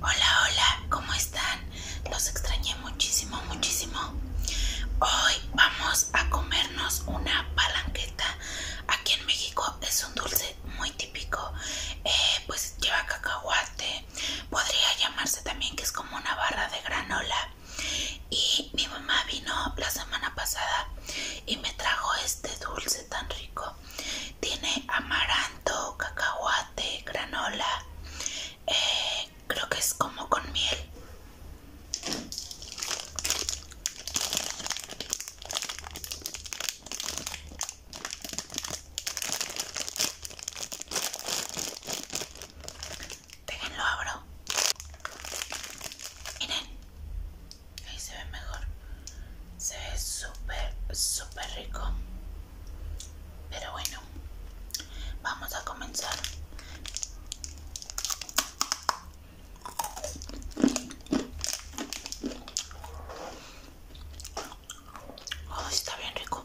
Hola, hola, ¿cómo están? Los extrañé muchísimo, muchísimo. Hoy vamos a comernos una palanqueta. Aquí en México es un dulce muy típico. Eh, pues lleva cacahuate. Podría llamarse también que es como una barra de granola. Y mi mamá vino la semana pasada y me trajo este dulce tan rico tiene amaranto, cacahuate, granola, eh, creo que es como con miel. Déjenlo abro. Miren, ahí se ve mejor. Se ve súper, súper rico. Pero bueno, vamos a comenzar. Oh, está bien rico.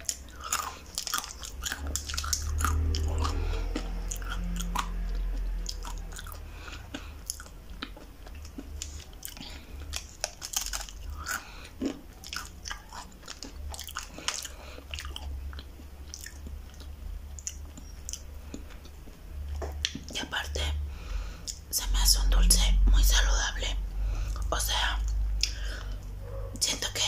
Y aparte se me hace un dulce muy saludable. O sea, siento que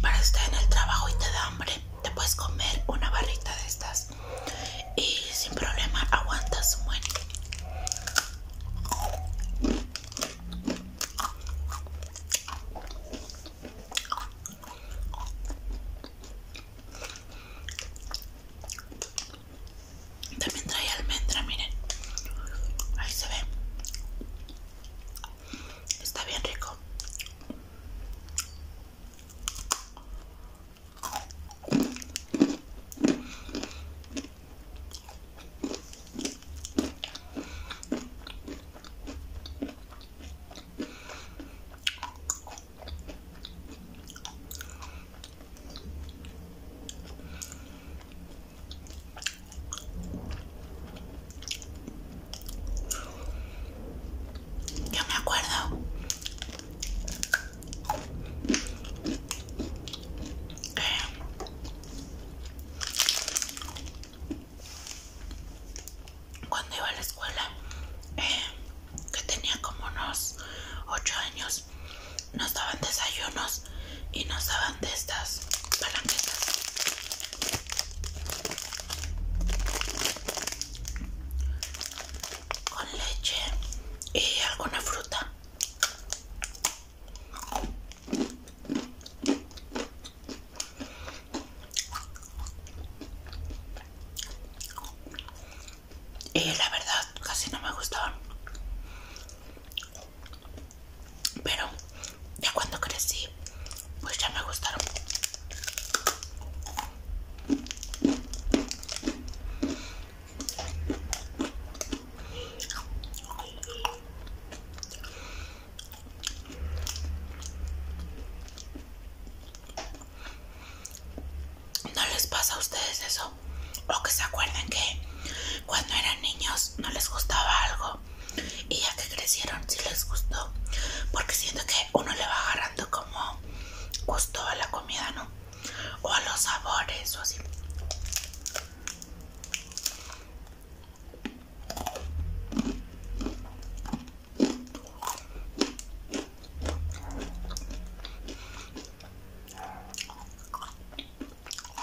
para estar en el trabajo y te da hambre, te puedes comer una barrita de estas y sin problema aguantas un buen. También trae almendra, miren. Ahí se ve. Está bien rico. Yo me acuerdo que cuando iba a la escuela, eh, que tenía como unos Ocho años, no daban desayunos y nos daban de estas palanquetas. Con leche y alguna fruta. Y la verdad, casi no me gustaban pero ya cuando crecí pues ya me gustaron ¿No les pasa a ustedes eso? o que se acuerden que cuando eran niños no les gustaba algo y ya que crecieron sí les gustó porque siento que uno le va agarrando como gusto a la comida no o a los sabores o así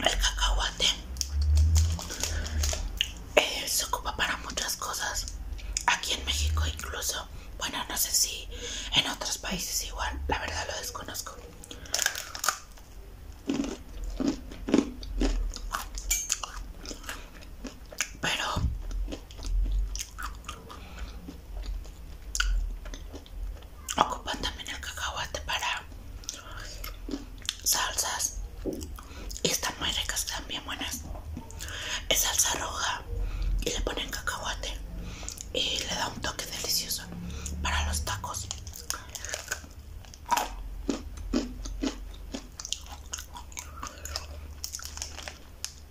El cacahuate eh, se ocupa para muchas cosas. Aquí en México incluso. Bueno, no sé si en otros países igual. La verdad lo desconozco. Pero ocupan también el cacahuate para salsas y están muy ricas, están bien buenas. Es salsa roja y le ponen cacahuate y le da un toque delicioso para los tacos.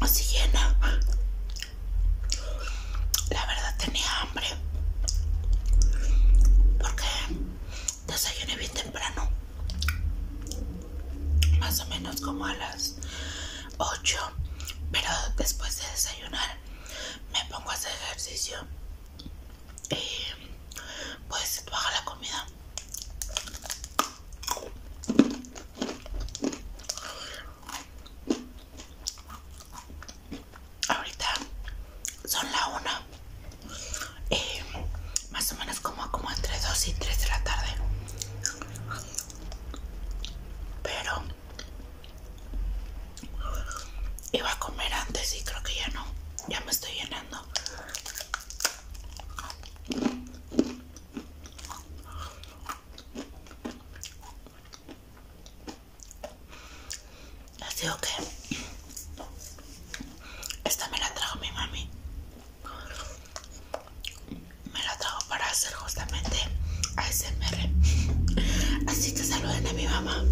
así llena. La verdad tenía hambre porque desayuné bien temprano, más o menos como a las 8, pero después de desayunar me pongo a hacer ejercicio y pues baja la comida. Ahorita son la una. Eh, más o menos como, como entre 2 y 3 de la tarde. Pero iba a comer antes y creo que ya no. Ya me estoy llenando. Así digo que esta me la trajo mi mami. Me la trajo para hacer justamente a ASMR. Así te saluden a mi mamá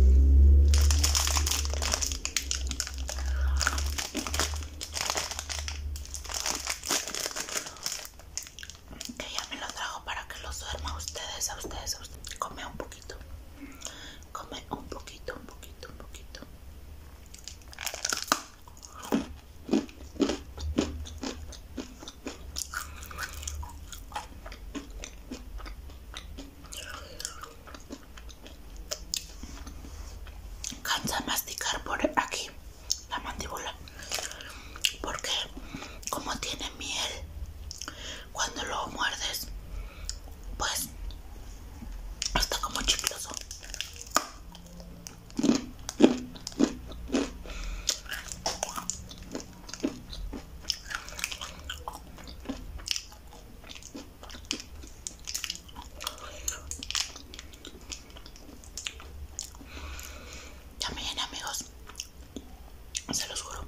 que ya me lo trajo para que lo duerma ustedes, a ustedes, a ustedes. Come un poquito, come un poquito, un poquito, un poquito. Cansa masticar por aquí la mandíbula porque como tiene miel cuando lo muerdes pues está como chicloso también amigos, se los juro.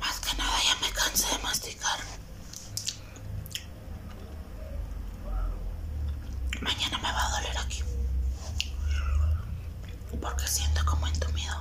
Más que nada ya me cansé de masticar. Mañana me va a doler aquí. Porque siento como entumido.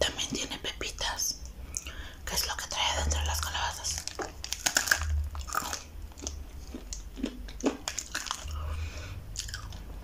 También tiene pepitas, que es lo que trae dentro de las calabazas.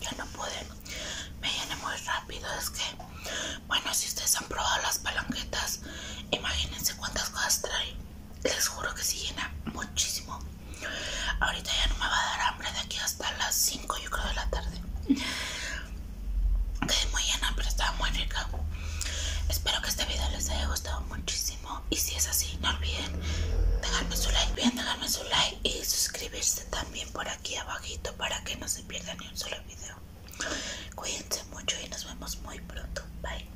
ya no pude, me llené muy rápido. Es que, bueno, si ustedes han probado las palanquetas, imagínense cuántas cosas trae les juro que se llena muchísimo. Ahorita ya no me va a dar hambre de aquí hasta las 5 yo creo de la tarde. Quedé muy llena, pero estaba muy rica. Espero que este video les haya gustado muchísimo. Y si es así, no olviden dejarme su like, bien dejarme su like y suscribirse también por aquí abajito para que no se pierda ni un solo video. Cuídense mucho y nos vemos muy pronto. Bye.